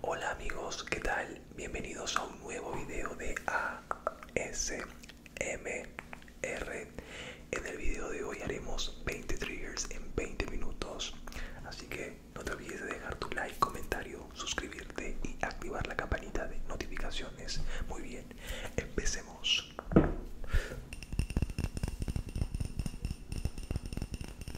Hola amigos, ¿qué tal? Bienvenidos a un nuevo video de ASMR. En el video de hoy haremos 20 triggers en 20 minutos, así que no te olvides de dejar tu like, comentario, suscribirte y activar la campanita de notificaciones. Muy bien, empecemos.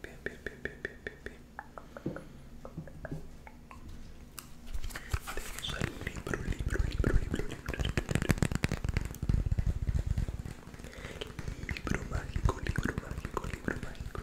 Bien, bien, bien, bien, bien, bien, bien. Tenemos el libro, libro, libro, libro, libro. Libro mágico, libro mágico, libro mágico.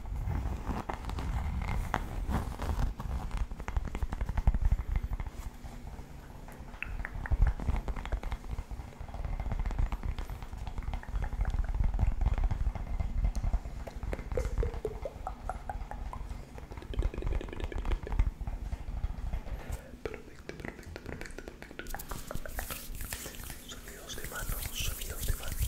Perfecto, perfecto, perfecto, perfecto. Sonidos de manos, sonidos de manos.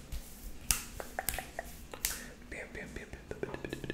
Bam, bam, bam, bam, bam, bam, bam. Bam,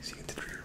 See you in the trigger.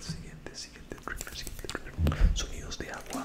Siguiente, siguiente Sonidos de agua.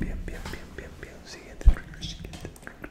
Bien, bien, bien, bien, bien. Siguiente trigger, siguiente trigger.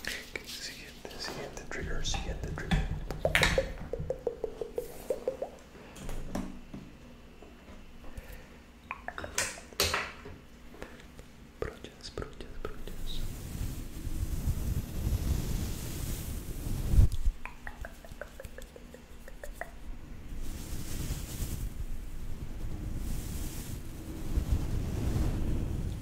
Okay, siguiente, siguiente trigger, siguiente trigger. Brochas, brochas, brochas.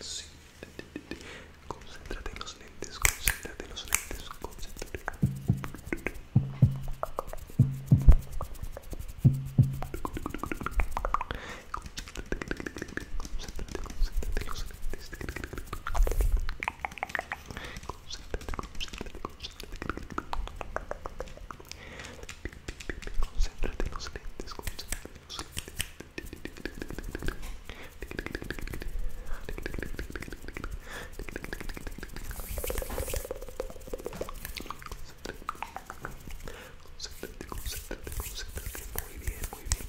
Sí. Concéntrate en los lentes, concéntrate en los lentes, concéntrate. Concéntrate, concéntrate en los lentes. Concéntrate, concéntrate, lentes. Concéntrate en los lentes, concéntrate en los Concéntrate, concéntrate, concéntrate. Muy bien, muy bien.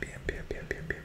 Bien, bien, bien, bien, bien, bien.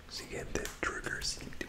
So you get the trigger symptom.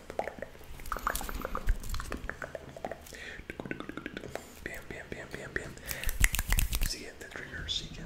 Bien, bien, bien, bien, bien. Siguiente trigger, siguiente.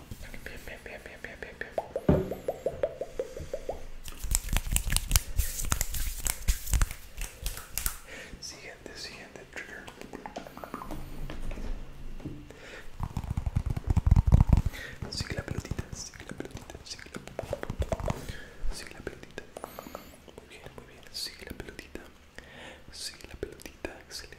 Bien, bien, bien, Siguiente, siguiente trigger. Sigue la pelotita, sigue la pelotita, sigue la pelotita. Sigue la pelotita. Muy bien, muy bien. Sigue la pelotita. Sigue la pelotita. Excelente.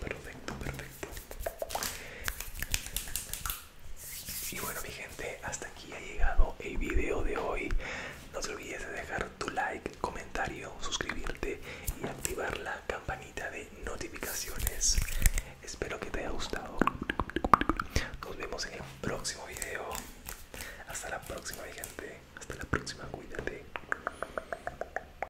Perfecto, perfecto. Y bueno mi gente, hasta aquí ha llegado el video de hoy. No te olvides de dejar tu like, comentario, suscribirte y activar la campanita de notificaciones. Espero que te haya gustado. Nos vemos en el próximo video. Hasta la próxima mi gente. Hasta la próxima, cuídate.